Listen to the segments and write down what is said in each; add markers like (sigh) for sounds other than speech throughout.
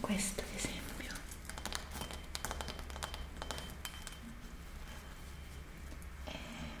questo ad esempio e... Eh.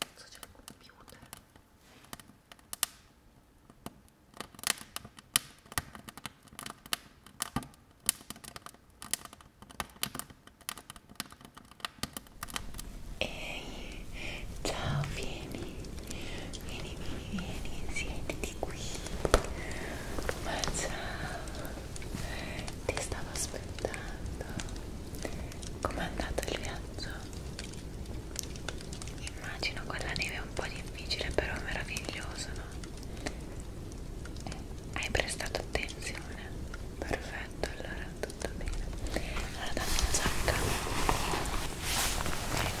Adesso c'è il computer Ehi, ciao, vieni, vieni, vieni, vieni, siediti qui. Ma ciao, ti stavo aspettando com'è andato il viaggio? immagino quella neve è un po' difficile però meraviglioso no? Eh, hai prestato attenzione? perfetto allora tutto bene allora dammi una giacca ecco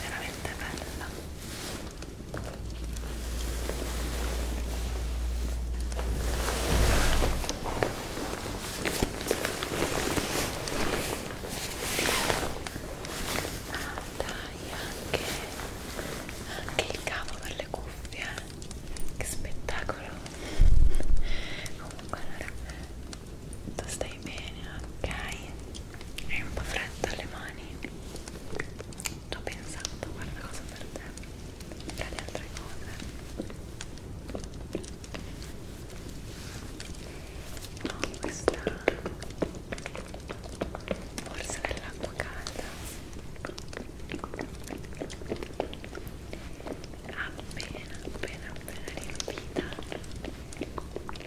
veramente bella ah dai anche anche il cavo per le cuffie eh. che spettacolo (laughs) comunque allora tu stai bene, ok? Hai un po' freddo alle mani? T ho pensato, guarda cosa per te tra le altre cose no, questa borsa dell'acqua calda appena appena appena riempita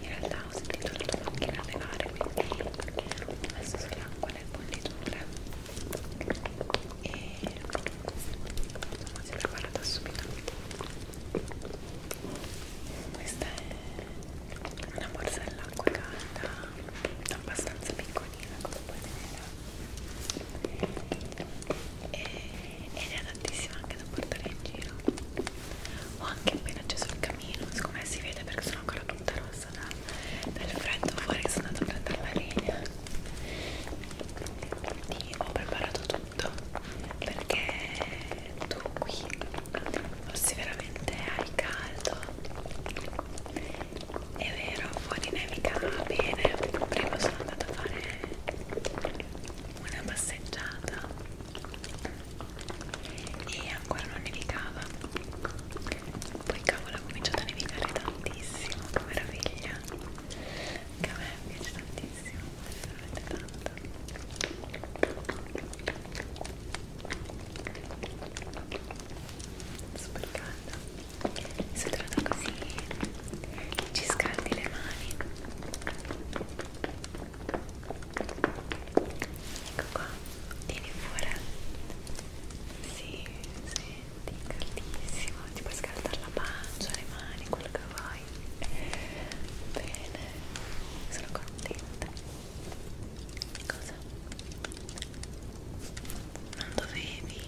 in realtà ho sentito la tua macchina levare quindi ho messo sull'acqua le bolliture e insomma si è preparata subito questa è una borsa dell'acqua calda abbastanza piccolina come puoi vedere e, ed è adattissima anche da portare in giro ho anche appena acceso il camino secondo me si vede perché sono ancora tutta rossa da, dal freddo fuori che sono andata a prendere la linea quindi ho preparato tutto perché tu qui fossi veramente al caldo è vero fuori nevica bene prima sono andata a fare una passeggiata e ancora non nevicava poi cavolo ha cominciato a nevicare tantissimo che meraviglia che a me piace tantissimo veramente tanto super caldo si è trovata così ci scaldi le mani Ecco qua, tieni fuori. Sì, senti, caldissimo. Ti puoi scaldare la pancia, le mani, quello che vuoi. Bene, sono contenta. Cosa? Non dovevi?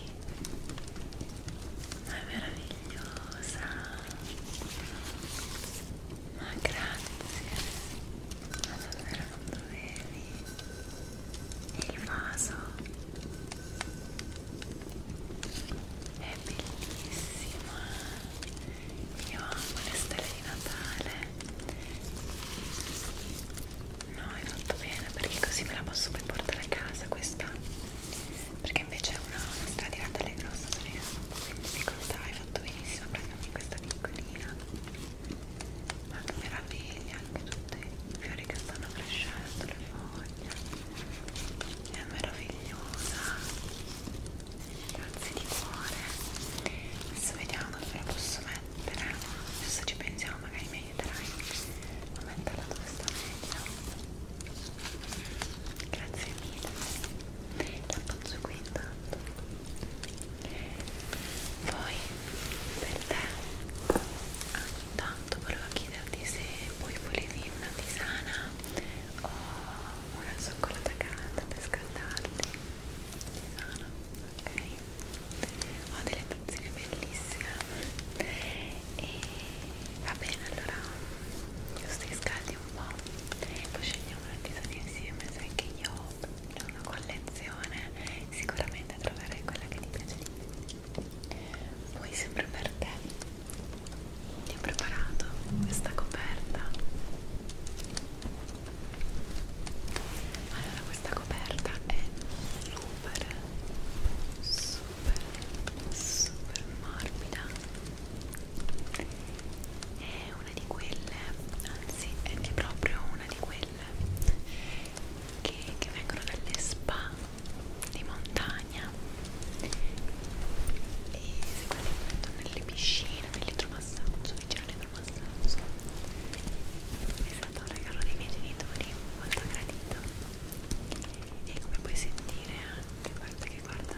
Ma è meravigliosa. Ma grazie. Ma davvero non dovevi. E il vaso è bellissima. Io amo le stelle di Natale. No, è fatto bene perché così me la posso poi portare a casa questa perché invece è una, una stradirata alle grosse sorelle quindi difficoltà hai fatto benissimo prendermi questa piccolina ma che meraviglia anche tutti i fiori che stanno crescendo le foglie è meravigliosa grazie di cuore adesso vediamo dove la posso mettere adesso ci pensiamo magari mi aiuterai a metterla dove sta meglio Grazie mille, l'appoggio qui intanto. Poi per te, ah, intanto volevo chiederti se poi volevi una tisana o una cioccolata calda per scaldarti. Tisana, ok? Ho delle tazzine bellissime e va bene allora stai scaldi un po' e ecco, poi scegliamo un episodio insieme sai che io ho una collezione sicuramente troverai quella che ti piace di più poi sempre per te ti ho preparato questa coperta allora questa coperta è super super super super morbida è una di quelle anzi è che proprio una di quelle che, che vengono dalle spa di montagna e sicuramente mettono nelle piscine nell'idromassaggio vicino all'idromassaggio è stato un regalo dei miei genitori molto gradito e come puoi sentire anche guarda che guarda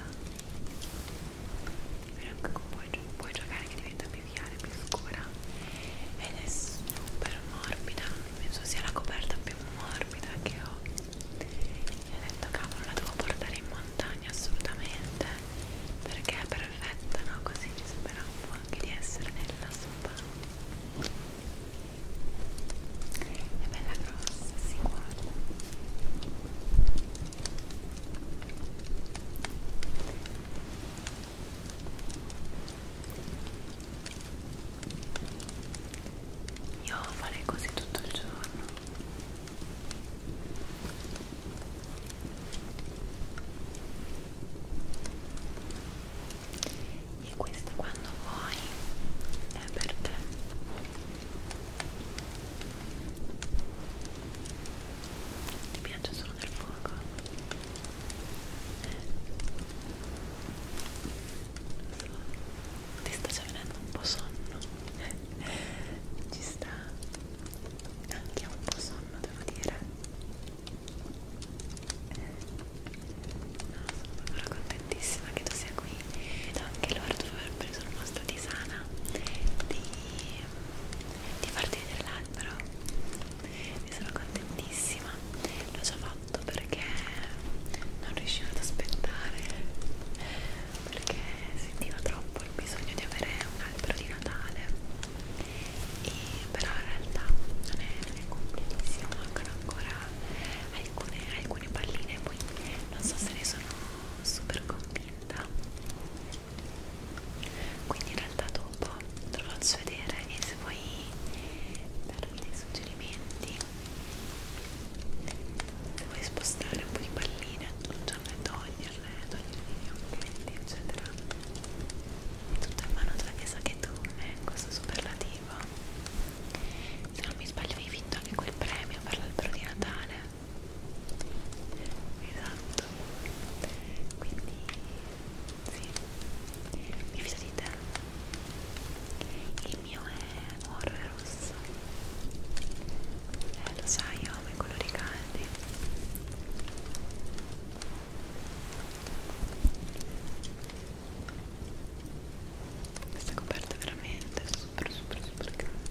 anche puoi, puoi giocare che diventa più chiara più scura ed è super morbida penso sia la coperta più morbida che ho e ho detto cavolo la devo portare in montagna assolutamente perché è perfetta no? così ci sembra un po' anche di essere nella spa è bella grossa, si sì, guarda. Io farei così tutto il giorno e questo quando vuoi è per te ti piace solo del fuoco eh. ti sta già venendo un po' sonno (laughs) ci sta anche un po' sonno devo dire sono davvero contentissima che tu sia qui ed anche loro dopo aver preso il mostro di Sana di, di farti vedere l'albero ne sono contentissima l'ho già fatto perché non riuscivo ad aspettare perché sentivo troppo il bisogno di avere un albero di Natale e però in realtà non è, non è completissimo mancano ancora ai alcune, alcune palline poi non so se ne sono super convinta quindi in realtà dopo te lo faccio vedere e se vuoi darmi dei suggerimenti se vuoi spostare un po' di palline aggiungerle, toglierle, toglierle i commenti eccetera tutto in mano tua che sa che tu è questo superlativo se non mi sbaglio hai vinto anche quel premio per l'albero di Natale esatto quindi sì mi fido di te il mio è oro e rosso eh lo sai io amo i colori caldi questa coperta è veramente super super super grande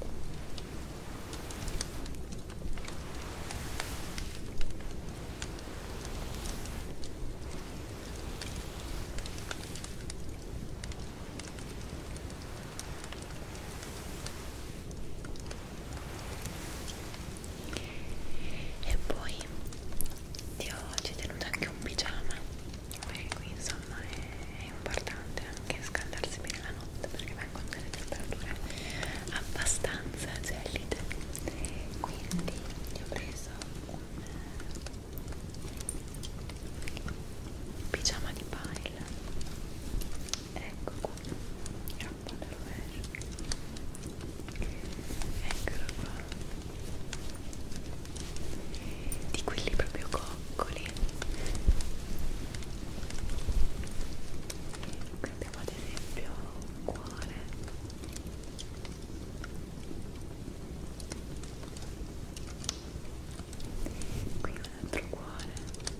e poi ti ho, ci ho tenuto anche un pigiama perché qui insomma è, è importante anche scaldarsi bene la notte perché vengono delle temperature abbastanza gelide quindi io ho preso un pigiama di pile ecco qua eccolo qua di quelli proprio coccoli qui abbiamo ad esempio un cuore qui un altro cuore qui un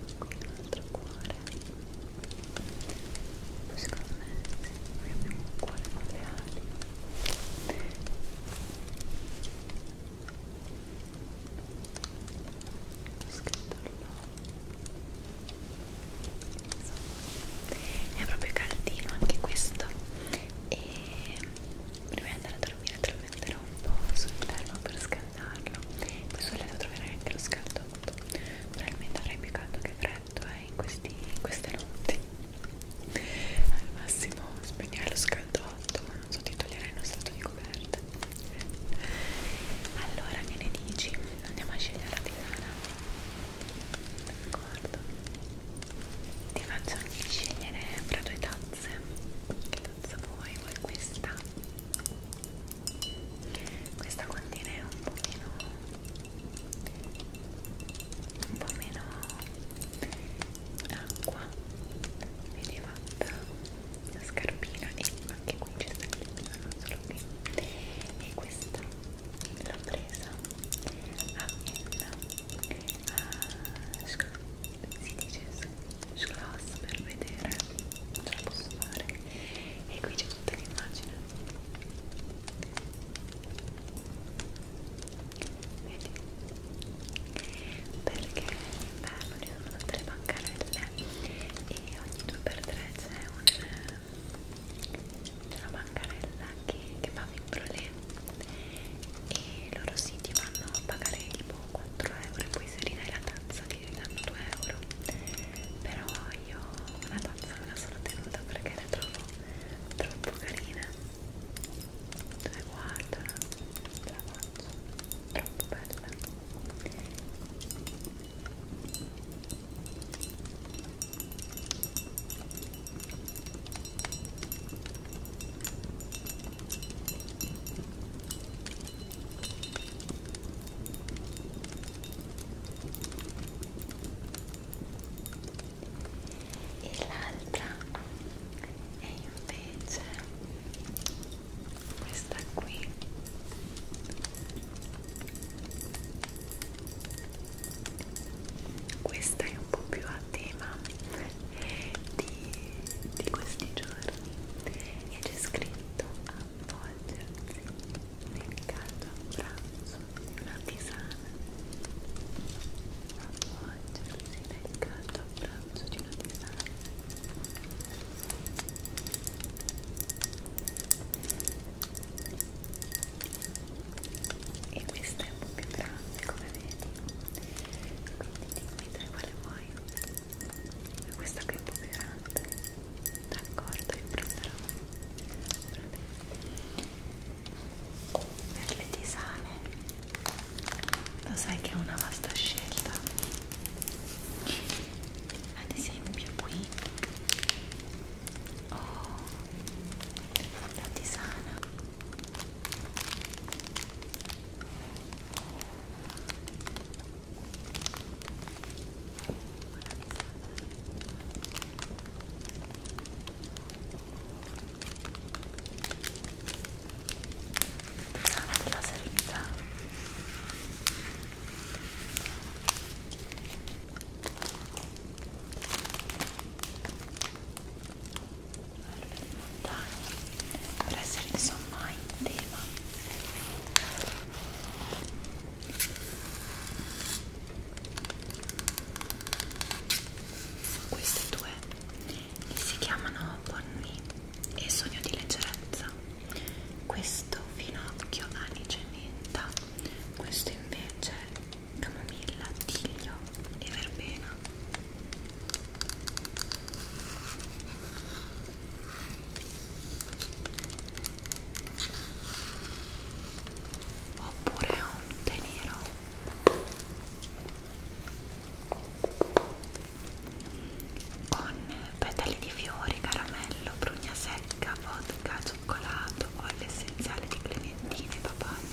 altro cuore secondo me noi abbiamo un cuore con le ali scritto no. è proprio caldino anche questo e prima di andare a dormire te lo metterò un po' sul termo per scaldarlo poi sulle devo trovare anche lo scaldo freddo esatto. probabilmente avrei piccato che freddo è eh, in, in queste notti al massimo spegnerai lo scaldotto ma non so ti toglierai uno stato di coperta allora che ne dici? andiamo a scegliere la tisana d'accordo ti faccio anche scegliere fra due tazze che tazza vuoi? vuoi questa? questa contiene un pochino un po' meno acqua quindi fatta la scarpina e anche qui c'è sta clippina non solo qui e questa l'ho presa a N si dice gloss per vedere ce la posso fare e qui c'è tutta l'immagine vedi? perché l'inverno ci sono tutte le bancarelle e ogni 2x3 c'è un, una bancarella che, che fa vibrolet e loro siti vanno a pagare boh tipo 4 euro e poi se ridai la tazza che danno 2 euro però io la tazza me la sono tenuta perché la trovo troppo carina dove guardano la faccio troppo bella e l'altra è invece questa qui questa è un po' più a tema di, di questi giorni e c'è scritto avvolgersi nel caldo abbraccio di una tisana avvolgersi nel caldo abbraccio di una tisana e questo è un po' più grande come vedi quindi dimmi te quale vuoi questa qui è un po' più grande d'accordo io prenderò per le tisane lo sai che è una vasta scelta ad esempio qui ho oh, la tisana anche la servizia per essere insomma in tema queste due si chiamano Bonni e Sogno di leggerezza. Questo finocchio anice e menta, questo invece camomilla, tiglio e verbena oppure un tè nero con petali di fiori, caramello, prugna secca, vodka, cioccolato, olio essenziale di clementine, papaya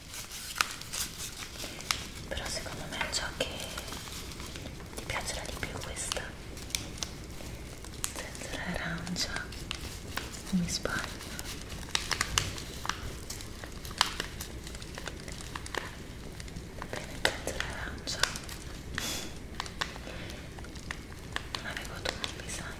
però secondo me è ciò che ti piacerà di più questa zenzera arancia mi sbaglio bene zenzera arancia non avevo dubbi sai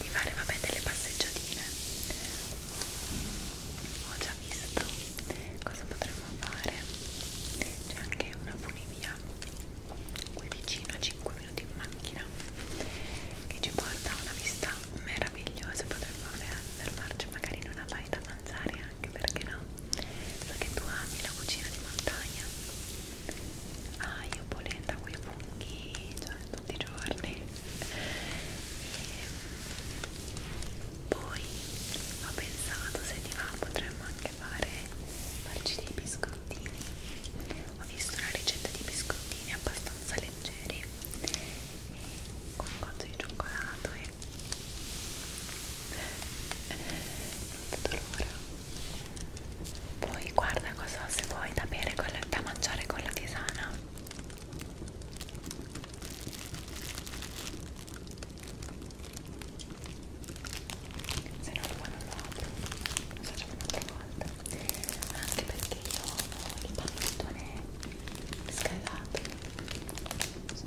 di fare vabbè delle passeggiatine ho già visto cosa potremmo fare c'è anche una funivia qui vicino a 5 minuti in macchina che ci porta a una vista meravigliosa potremmo fermarci magari in una baita a mangiare anche perché no so che tu ami la cucina di montagna ah io polenta quei funghi cioè tutti i giorni e poi ho pensato se ti va potremmo anche fare farci dei biscottini ho visto una ricetta di biscottini abbastanza leggeri con un cotto di cioccolato e non vedo l'ora poi guarda cosa se vuoi da bere con la, da mangiare con la tisana se no qua non lo apro lo facciamo un'altra volta anche perché io ho il pallettone scaldato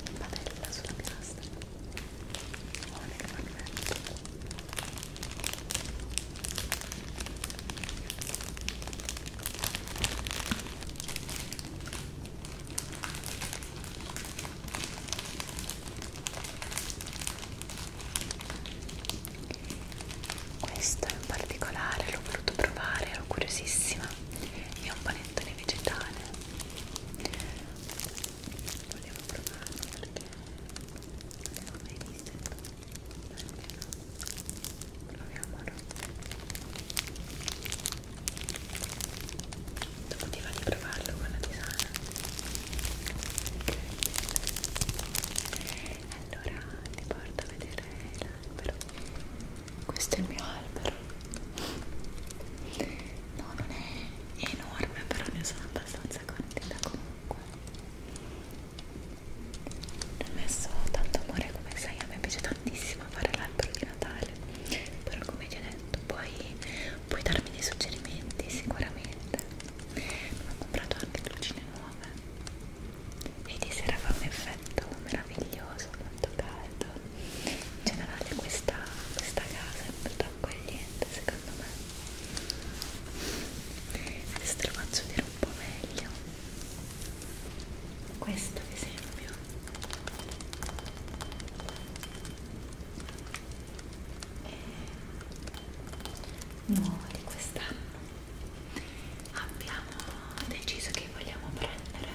in padella sulla piastra ho le caramelle questo in particolare l'ho voluto provare, ero curiosissima. È un panettone vegetale. Volevo provarlo perché non l'ho mai visto. Proviamolo. Dopo ti va di provarlo con la tisana. Allora ti porto a vedere l'albero. Questo è il mio albero. No, non è enorme, però ne sono abbastanza contenta comunque ho messo tanto amore come sai a me piace tantissimo fare l'albero di Natale però come ti ho detto puoi, puoi darmi dei suggerimenti sicuramente ho comprato anche lucine nuove e di sera fa un effetto meraviglioso molto caldo in generale questa, questa casa è molto accogliente secondo me adesso te lo faccio vedere un po' meglio questo ad esempio è eh, nuovo di quest'anno abbiamo deciso che vogliamo prendere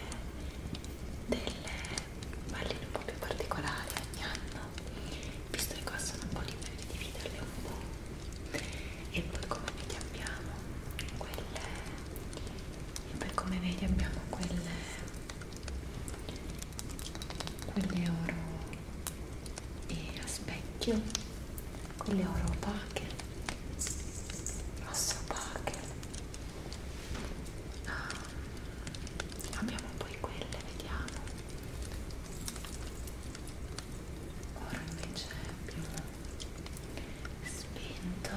delle palline un po' più particolari ogni anno visto che qua sono un po' liberi di dividerle un po' e poi come vedi abbiamo quelle e poi come vedi abbiamo quelle quelle oro e a specchio quelle oro opache rosse opache ah, abbiamo poi quelle vediamo ora invece è più spento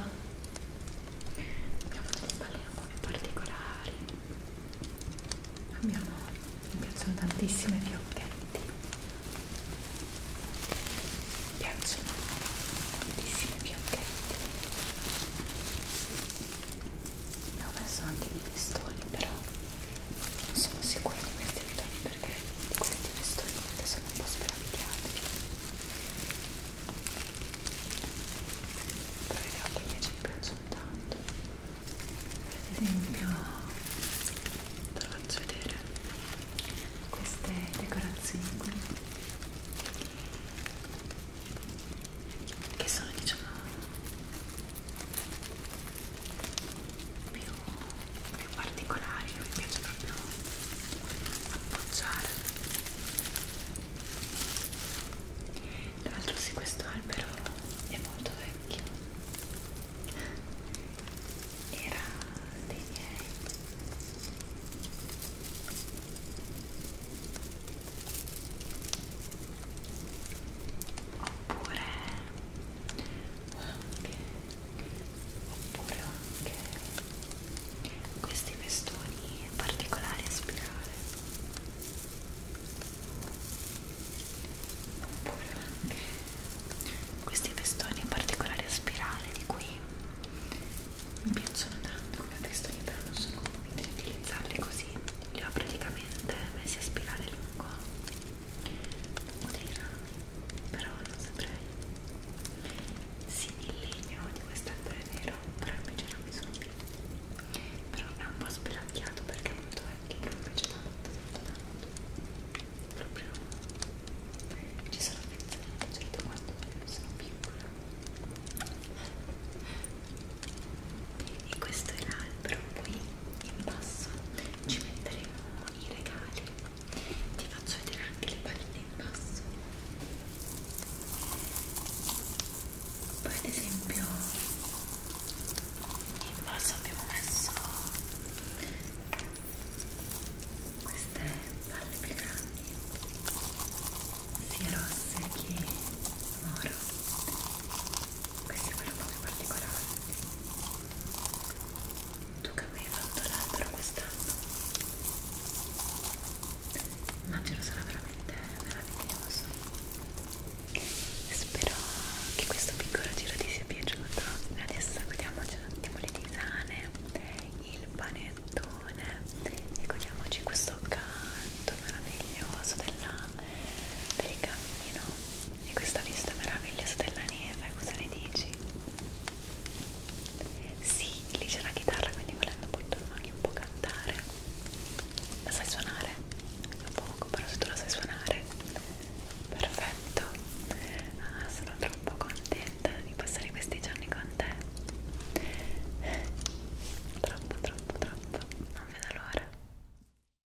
abbiamo delle palline un po' più particolari abbiamo, mi piacciono tantissime fiocchetti mi piacciono tantissime fiocchetti ne ho messo anche i pistoli però sono sicura di questi vitoni perché di questi vestoni sono un po' spaventati però i capi invece mi piacciono tanto ad esempio te lo faccio vedere queste decorazioni qui che sono diciamo più, più particolari mi piace proprio appoggiare tra l'altro sì questo albero è molto vecchio era dei miei oppure anche oppure anche questi vestoni particolari a spirale oppure anche questi vestoni particolari a spirale di cui mi piacciono tanto come vestoni però non sono convinta di utilizzarli così li ho praticamente messi a spirale lungo o dei rami, però non saprei. Sì, il legno di quest'albero è vero, però invece i rami sono piccoli. Però è un po' spelacchiato perché è molto vecchio, però invece tanto, tanto, tanto. Proprio ci sono affezionata, certo quando sono piccola. E questo è l'albero, poi in basso ci metteremo i regali ti faccio vedere anche le palline in basso poi ad esempio in basso abbiamo messo queste palle più grandi sia rosse che moro questo è quello un po' più particolare tu che mi hai fatto l'albero quest'anno immagino sarà veramente meraviglioso e spero che questo piccolo giro ti sia piaciuto adesso godiamoci un attimo le tisane il panettone e godiamoci questo canto meraviglioso della, del camino e questa vista meravigliosa della neve, cosa ne dici? Sì, lì c'è la chitarra, quindi volendo puoi tu anche un po' cantare. La sai suonare? A poco, però se tu la sai suonare, perfetto. Ah, sono troppo contenta di passare questi giorni con te. Troppo, troppo, troppo. Non vedo l'ora.